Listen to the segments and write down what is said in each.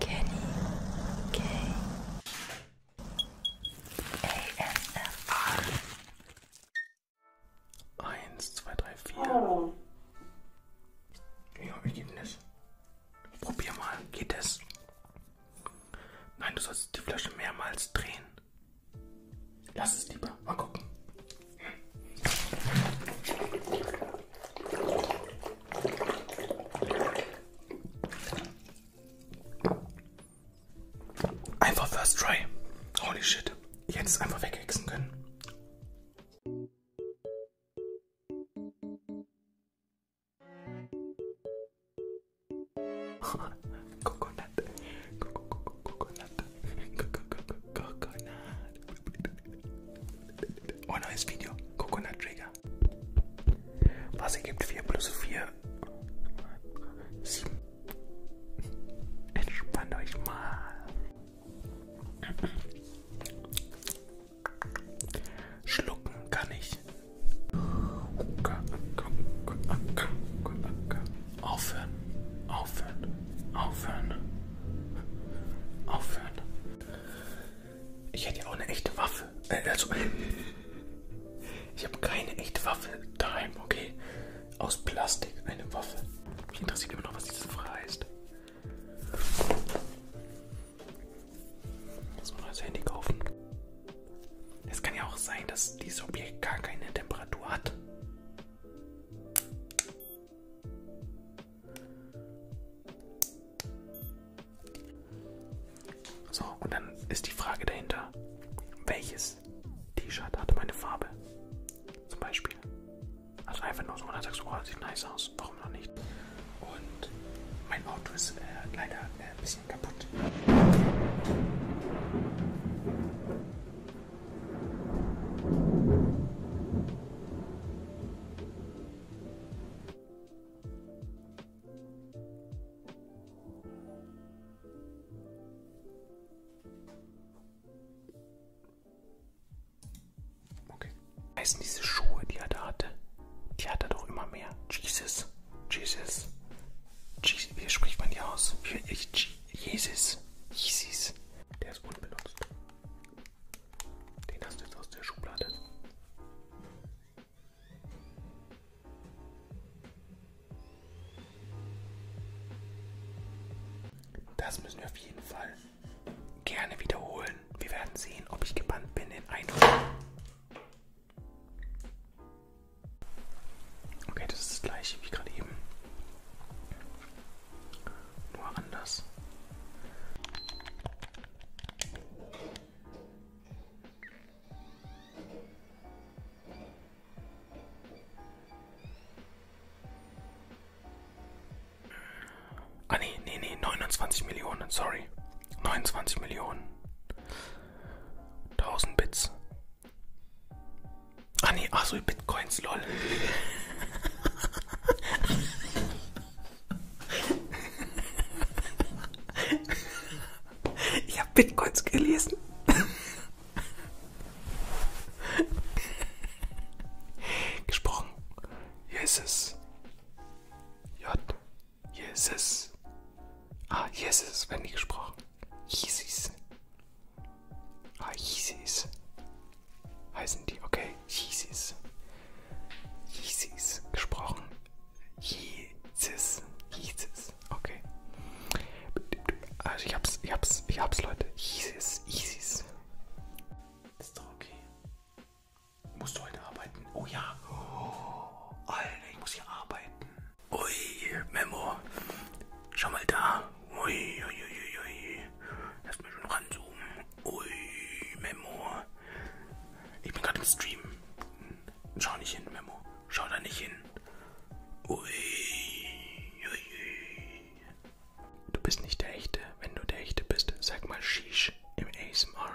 Kenny K. ASMR. Eins, zwei, drei, vier. Oh. Ja, ich gebe das. Probier mal, geht es? Nein, du sollst die Flasche mehrmals drehen. Lass es lieber, mal gucken. Einfach first try. Holy shit. Ich hätte es einfach weghexen können. Coconut. Coconut. Coconut. Coconut. Oh, neues Video. Coconut Trigger. Was ergibt 4 plus 4? 7. Entspannt euch mal. Schlucken kann ich. Aufhören. Aufhören. Aufhören. Aufhören. Ich hätte ja auch eine echte Waffe. Äh, also, ich habe keine echte Waffe daheim, okay? Aus Plastik eine Waffe. Mich interessiert immer noch, was diese Frage heißt. Jetzt mal das Handy kaufen. Es kann ja auch sein, dass dieses Objekt gar keine Temperatur hat. So, und dann ist die Frage dahinter, welches T-Shirt hatte meine Farbe? Zum Beispiel. Also einfach nur so, und dann sagst du, oh, sieht nice aus, warum noch nicht? Und mein Auto ist äh, leider äh, ein bisschen kaputt. Okay. Heißen diese Schuhe, die er da hatte? Die hat er doch immer mehr. Jesus. Jesus. Jesus. Wie spricht man die aus? Wie, ich, Jesus. Jesus. Der ist unbenutzt. Den hast du jetzt aus der Schublade. Das müssen wir auf jeden Fall gerne wiederholen. Wir werden sehen, ob ich gebannt bin in ein. Okay, das ist das gleiche wie gerade eben. Nur anders. Ah nee, nee, nee, 29 Millionen, sorry. 29 Millionen. 1000 Bits. Ah nee, ach so, Bitcoins, lol. Ich habe Bitcoins gelesen. Gesprochen. Hier ist es. J. Hier ist es. Ah, hier ist es, wenn die gesprochen. Jesus. Ah, Yeezys. Heißen die, okay, Yeezys. Yeezys, gesprochen. Yeezys, Yeezys, okay. Also ich hab's, ich hab's, ich hab's, Leute. Yeezys, Yeezys. Ist doch okay. Musst du heute arbeiten? Oh ja. Oh, Alter, ich muss hier arbeiten. Ui, Memo. Schau mal da. Ui, ui, ui, ui. Lass mich schon ranzoomen. Ui, Memo. Ich bin gerade im Stream. Schau nicht hin, Memo. Schau da nicht hin. Ui, ui, ui. Du bist nicht der Echte. Wenn du der Echte bist, sag mal Shish im ASMR.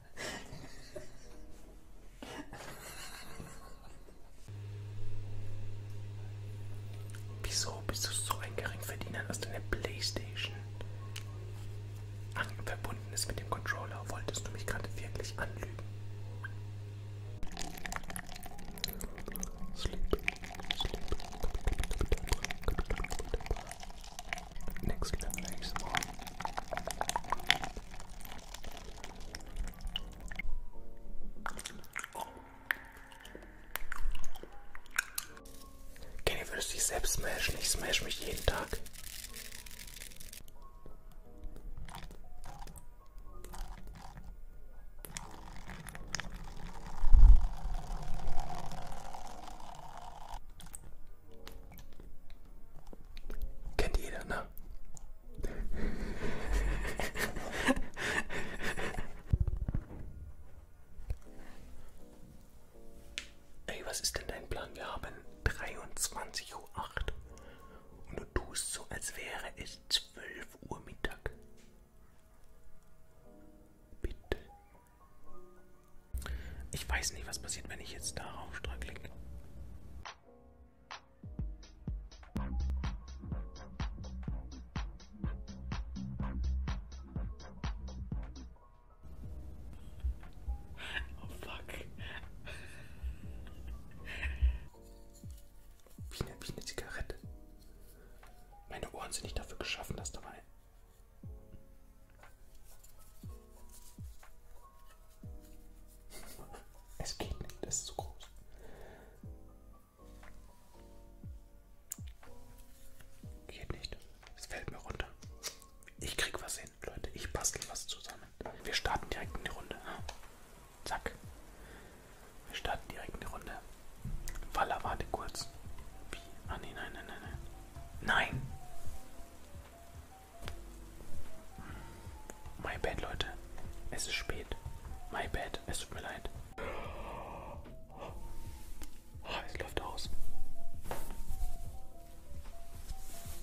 Wieso bist du so ein Geringverdiener, dass du eine Playstation an verbunden ist mit dem Controller? Wolltest du mich gerade wirklich anlügen? Sleep, sleep, Next Level ASMR. Kenny, würdest du dich selbst smashen? Ich smash mich jeden Tag. Kennt jeder, ne? Ey, was ist denn dein Plan? Wir haben 23.08 Uhr und du tust so, als wäre es 12 Uhr Mittag. Bitte. Ich weiß nicht, was passiert, wenn ich jetzt darauf drücke. Oh fuck. Wie eine, wie eine Zigarette. Meine Ohren sind nicht dafür geschaffen, dass da mal es geht nicht, das ist zu groß. Geht nicht. Es fällt mir runter. Ich krieg was hin, Leute. Ich bastel was zusammen. Wir starten direkt in die Runde. Zack. Wir starten direkt in die Runde. Walla, warte kurz. Wie? Ah, nee, nein, nein, nein, nein. Nein. My bad, Leute. Es ist spät. My bad. Es tut mir leid. Oh, es läuft aus.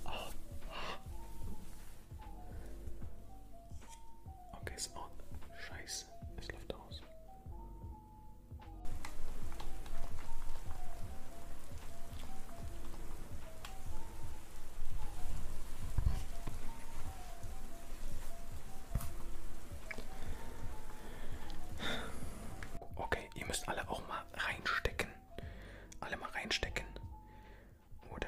Oh. Okay, es ist aus. Scheiße. Es läuft aus. Okay, ihr müsst alle auch mal reinstecken. Alle mal reinstecken. Oder?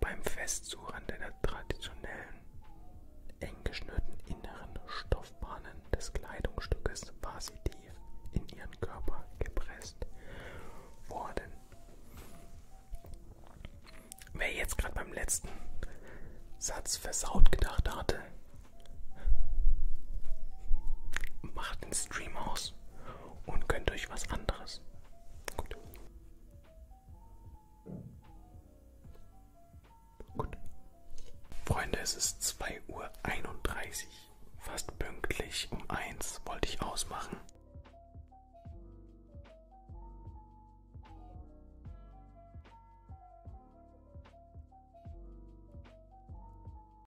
Beim Festsuchen der traditionellen, eng geschnürten inneren Stoffbahnen des Kleidungsstückes war sie tief in ihren Körper gepresst worden. Wer jetzt gerade beim letzten Satz versaut gedacht hatte, macht den Stream aus und gönnt euch was anderes. Gut. Gut. Freunde, es ist 2.31 Uhr. Fast pünktlich um 1 wollte ich ausmachen.